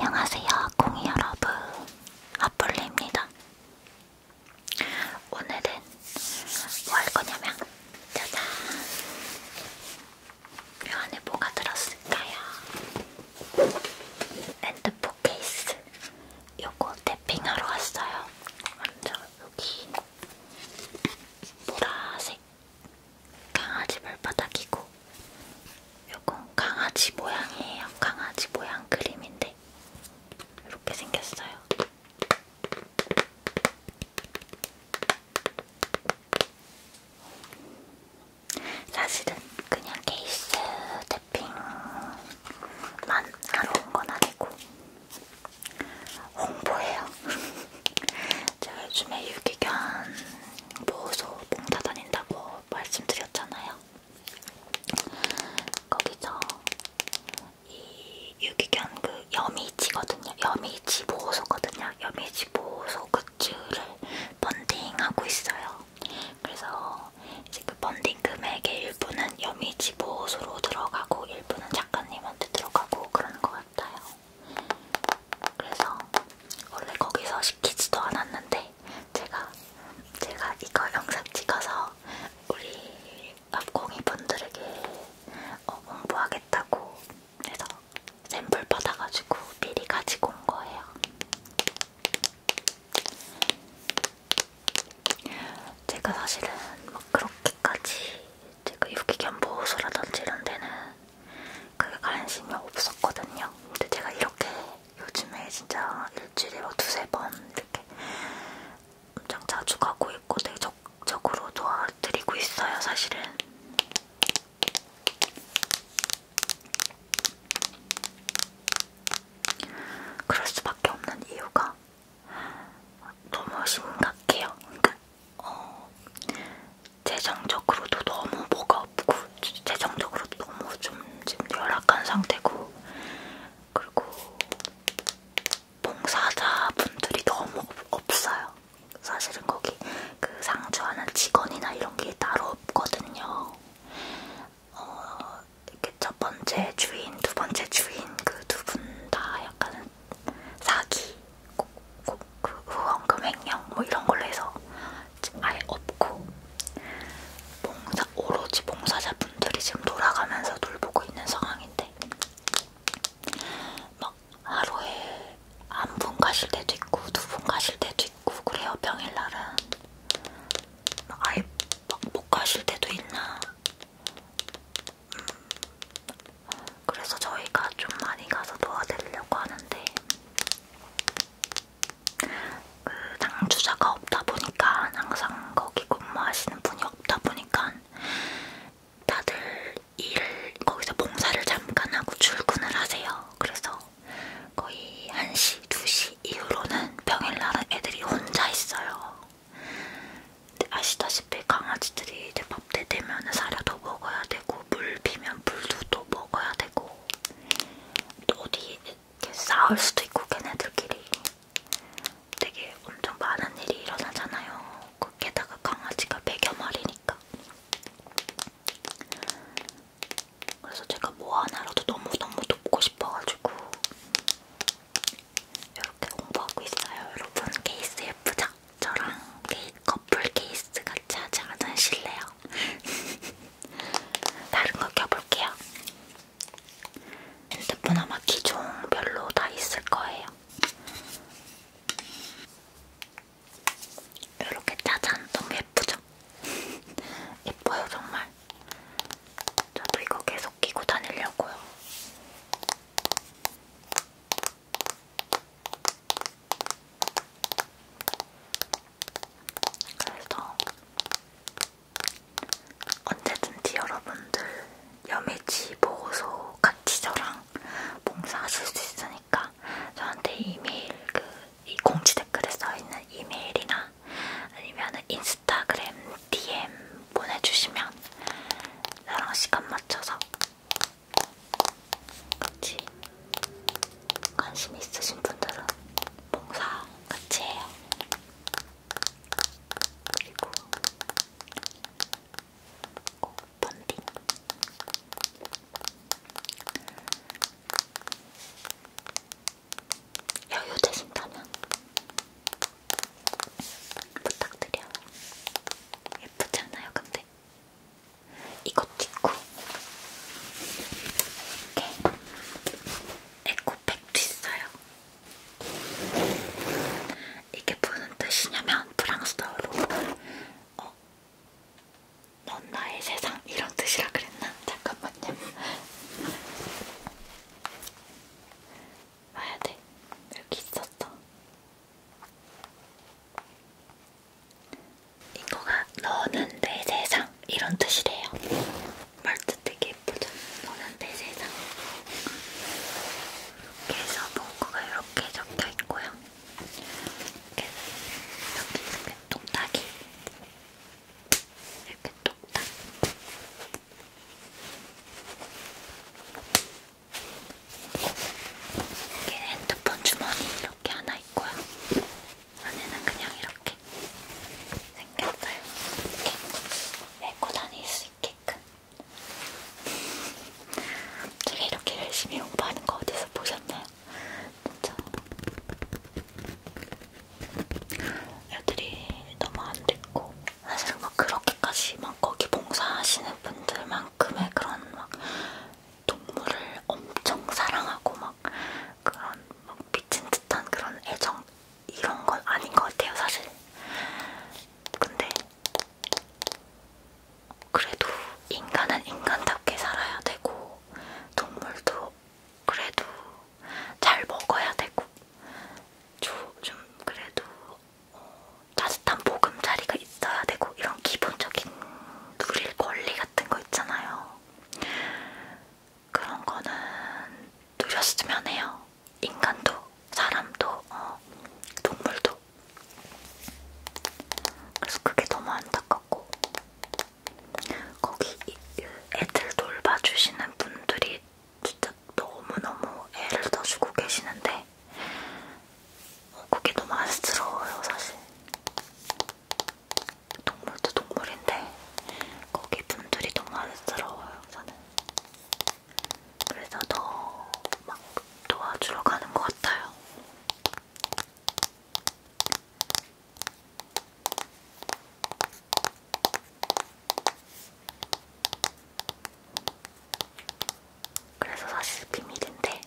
안녕하세요, 공이 여러분. 아폴리입니다. 오늘은 뭐할 거냐면, 짜잔! 요 안에 뭐가 들었을까요? 핸드폰 케이스. 요거 탭핑하러 왔어요. 먼저 여기 보라색 강아지 발바닥이고 요건 강아지 모양이에요. 강아지 모양 그림인데 이렇게 생겼어요. 사실은 그냥 케이스 태핑만 하러 온건 아니고 홍보예요. 제가 요즘에 유기견 보호소 봉사 다닌다고 말씀드렸잖아요. 거기서 이 유기견 그 여미지거든요. 여미지 보호소거든요. 여미지 보호소 굿즈를 펀딩하고 있어요. 그래서 이제 그 펀딩 금액의 일부는 여미지 보호소로 들어가고 일부는 작가님한테 들어가고 그런 것 같아요. 그래서 원래 거기서 시키지도 않았는데 제가 제가 이거 영상 찍어서 우리 앞공이 분들에게 어, 홍보하겠다고 해서 샘플 받아가지고 미리 가지고 온 거예요. 제가 사실은 막 그렇게까지 제가 그 이렇게 견보소라든지 이런 데는 그게 관심이 없었거든요. 근데 제가 이렇게 요즘에 진짜 일주일에 뭐 두세 번 이렇게 엄청 자주 가고 있고 되게 적극적으로 도와드리고 있어요, 사실은. 그럴 수밖에 없는 이유가 너무 심각해요. 그러니까 어, 재정적으로도 너무 뭐가 없고 재정적으로도 너무 좀 지금 열악한 상태고 그리고 봉사자분들이 너무 없어요. 사실은 거기 그 상주하는 직원이나 이런 게 따로 없거든요. 어, 이렇게 첫 번째 주인, 두 번째 주인 그 두 분 다 약간 사기 그 후원금 횡령 뭐 이런 걸로 해서 아예 없고 봉사, 오로지 봉사자분들이 지금 돌아가면서 돌보고 있는 상황인데 막 하루에 한 분 가실 때도 있고 두 분 가실 때도 있고 그래요 평일날은 아예 막못 가실 때도 있나 음, 그래서 저희가 좀 많이 가서 도와드리려고 하는데 그 당주자가 없다 보니까 항상 거기 근무하시는 분이 없다 보니까 다들 일 거기서 봉사를 잠깐 하고 출근을 하세요. 그래서 거의 1시, 2시 이후로는 평일날은 애들이 혼자 있어요. 아시다시피 강아지들이 대박 밥때 되면 사료도 먹어야 되고 물 비면 물도 또 먹어야 되고 또 어디 이렇게 싸울 수도 있고 걔네들끼리 되게 엄청 많은 일이 일어나잖아요. 그 게다가 강아지가 100여 마리니까. 그래서 제가 뭐 하나라도 너무너무 돕고 싶어가지고 이렇게 공부하고 있어요. 여러분 KCF 장 있죠? 저랑 케이, 커플 케이스 같이 하지 않으실래요? 다른 거 껴볼게요. 핸드폰 아마 기종별로 다 있을 거예요. 이렇게 짜잔! 너무 예쁘죠? 예뻐요 정말. 저도 이거 계속 끼고 다니려고요. 그래서 언제든지 네 여러분들 여매치 보호소 같이 저랑 봉사하실 수 있으니까 저한테 이메일 그 공지 댓글에 써있는 이메일이나 아니면 인스타그램 DM 보내주시면 나랑 시간 맞춰서 같이 관심 있으신 분들은 봉사 같이 해요. 그리고 꼭 펀딩. 여유 되신다면 부탁드려요. 예쁘잖아요, 근데. 이것도 있고 이렇게 에코백도 있어요. 이게 무슨 뜻이냐면 프랑스어로 어, 넌 나의 세상 이런 뜻이라 그랬나? 잠깐만요. 와야 돼. 여기 있었어. 이거가 너는 내 세상 이런 뜻이래요. 말도 되게 예쁘죠? 너는 내 세상. 이렇게 해서 문구가 이렇게 적혀 있고요. 이렇게 여기 이렇게 똑딱이 이렇게 똑딱. 이게 핸드폰 주머니 이렇게 하나 있고요. 안에는 그냥 이렇게 생겼어요. 이렇게 메고 다닐 수 있게끔. 제가 이렇게 열심히 공부하는 거 어디서 보셨나요? 진짜. 애들이 너무 안 됐고 사실 막 그렇게까지 막막 거기 봉사하시는 분들만큼의 그런 막 동물을 엄청 사랑하고 막 그런 막 미친 듯한 그런 애정 이런 건 아닌 것 같아요 사실. 근데 그래도 인간은 인간답게 살아야 되고 동물도 그래도 잘 먹어야 되고 좀 그래도 어, 따뜻한 보금자리가 있어야 되고 이런 기본적인 누릴 권리 같은 거 있잖아요. 그런 거는 누렸으면 해요. 인간도, 사람도, 어, 동물도. 그래서 그게 너무 안타깝고 거기 애들 돌봐주시는 분들이 진짜 너무너무 애를 더 주고 계시는데 했는데 그게 너무 안쓰러워요 사실 동물도 동물인데 거기 분들이 너무 안쓰러워요 저는 그래서 더 막 도와주러 가는 것 같아요 그래서 사실 비밀인데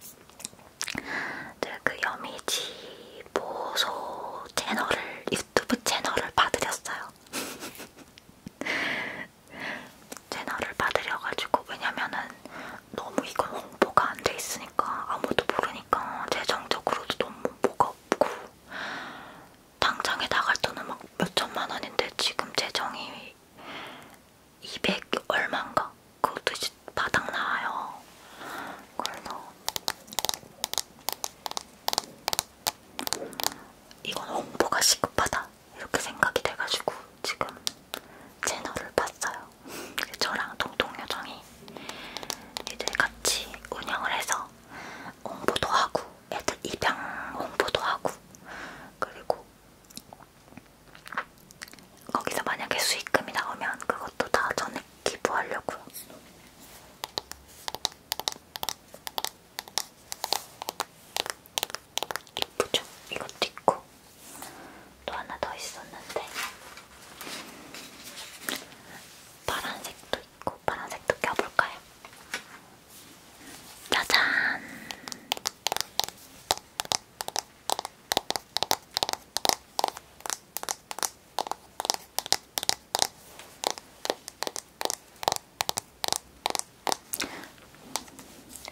늘그 여미지 보소 채널을 유튜브 채널을 받으렸어요. 채널을 받으려가지고 왜냐면은 너무 이건 홍보가 안 돼 있으니까 아무도 모르니까 재정적으로도 너무 뭐가 없고 당장에 나갈 돈은 막 몇천만 원인데 지금 재정이 200 얼마인가? 그것도 이제 바닥나와요. 그래서 이건 홍보가 시급하다 이렇게 생각이 돼가지고 지금 채널을 봤어요. 저랑 동동여정이 이제 같이 운영을 해서 홍보도 하고 애들 입양 홍보도 하고 그리고 거기서 만약에 수익금이 나오면 그것도 다 전액 기부하려고요. 이쁘죠? 이것도 있고 또 하나 더 있었는데 파란색도 있고 파란색도 껴볼까요? 짜잔!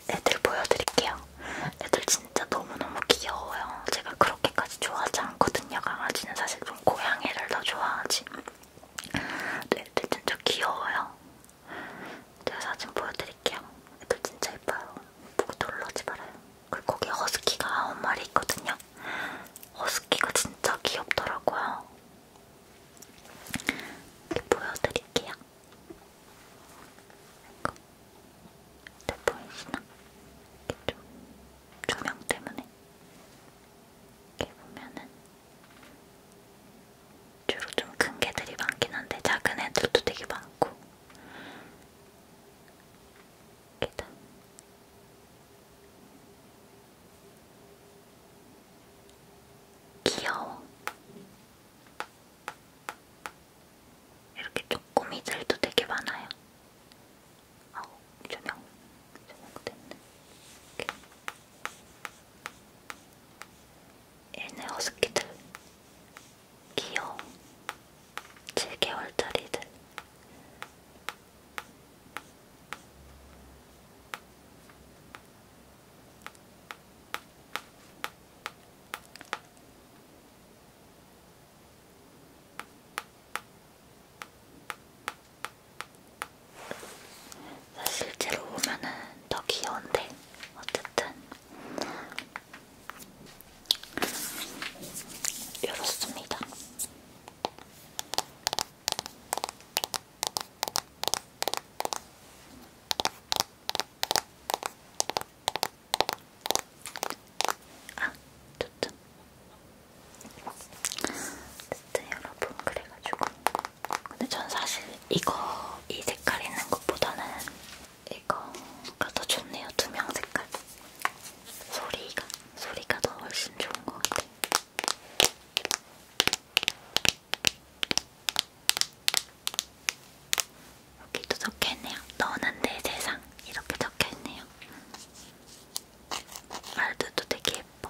애들 보여드릴게요. 애들 진짜 너무너무 귀여워요. 제가 그렇게까지 좋아하지 않거든요. 강아지는 사실 좀 고양이를 더 좋아하지. 애들 진짜 귀여워요. 제가 사진 보여드릴게요. 애들 진짜 예뻐요. 보고 놀라지 말아요. 그리고 거기 허스키가 아홉 마리 있거든요. 허스키가 진짜 귀엽더라고요. 이렇게 보여드릴게요. 이거. 잘 네, 보이시나? 이렇게 좀 조명 때문에 이렇게 보면은 주로 좀 큰 개들이 많긴 한데 작은 애들도 되게 많고 계단 귀여워 이렇게 쪼꼬미들도 되게 많아요 아우 조명 조명 됐네 이렇게. 얘네 허스키들 귀여워 7개월짜리들 실제로 보면은 더 귀여운데 어쨌든 이렇습니다. 아, 좋죠. 어쨌든 여러분 그래가지고 근데 전 사실 이거 이 색깔 있는 것보다는 이거가 더 좋네요. 투명 색깔. 소리가 소리가 더 훨씬 좋은 것 같아. 여기도 적혀있네요. 너는 내 세상 이렇게 적혀있네요. 말들도 되게 예뻐.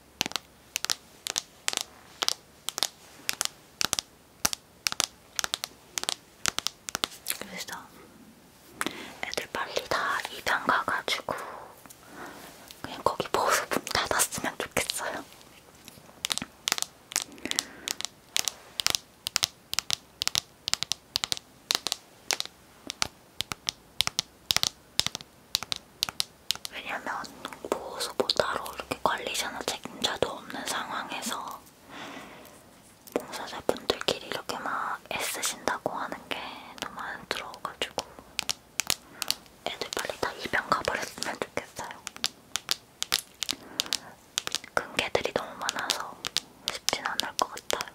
그래서 애들 빨리 다 입양 가가지고 그냥 거기 보수품 닫았으면 좋겠어요. 왜냐면 보호수보 따로 이렇게 관리자나 책임자도 없는 상황에서 봉사자분들끼리 이렇게 막 애쓰신다고 하는 게 너무 안 들어가지고 애들 빨리 다 입양 가버렸으면 좋겠어요. 큰 개들이 너무 많아서 쉽진 않을 것 같아요.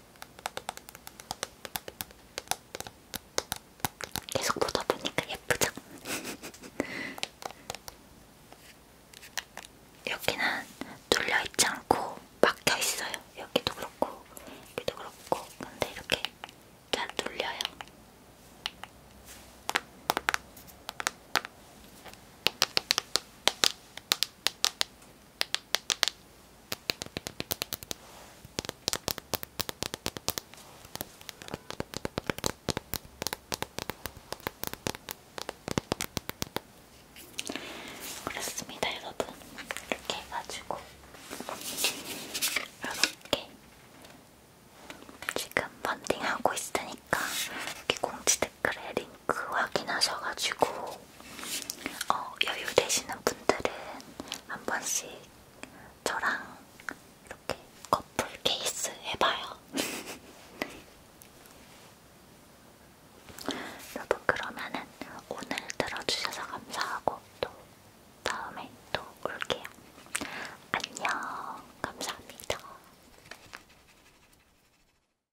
계속 보다 보니까 예쁘죠? 여기는 눌려있지 않고 막혀있어요. 여기도 그렇고, 여기도 그렇고. 근데 이렇게 잘 눌려요. 그렇습니다, 여러분. 이렇게 해가지고 이렇게 지금 번딩하고 있으니까 이렇게 공지들 댓글에 링크 확인하셔가지고 어, 여유 되시는 분들은 한 번씩 저랑 이렇게 커플 케이스 해봐요. 여러분 그러면은 오늘 들어주셔서 감사하고 또 다음에 또 올게요. 안녕 감사합니다.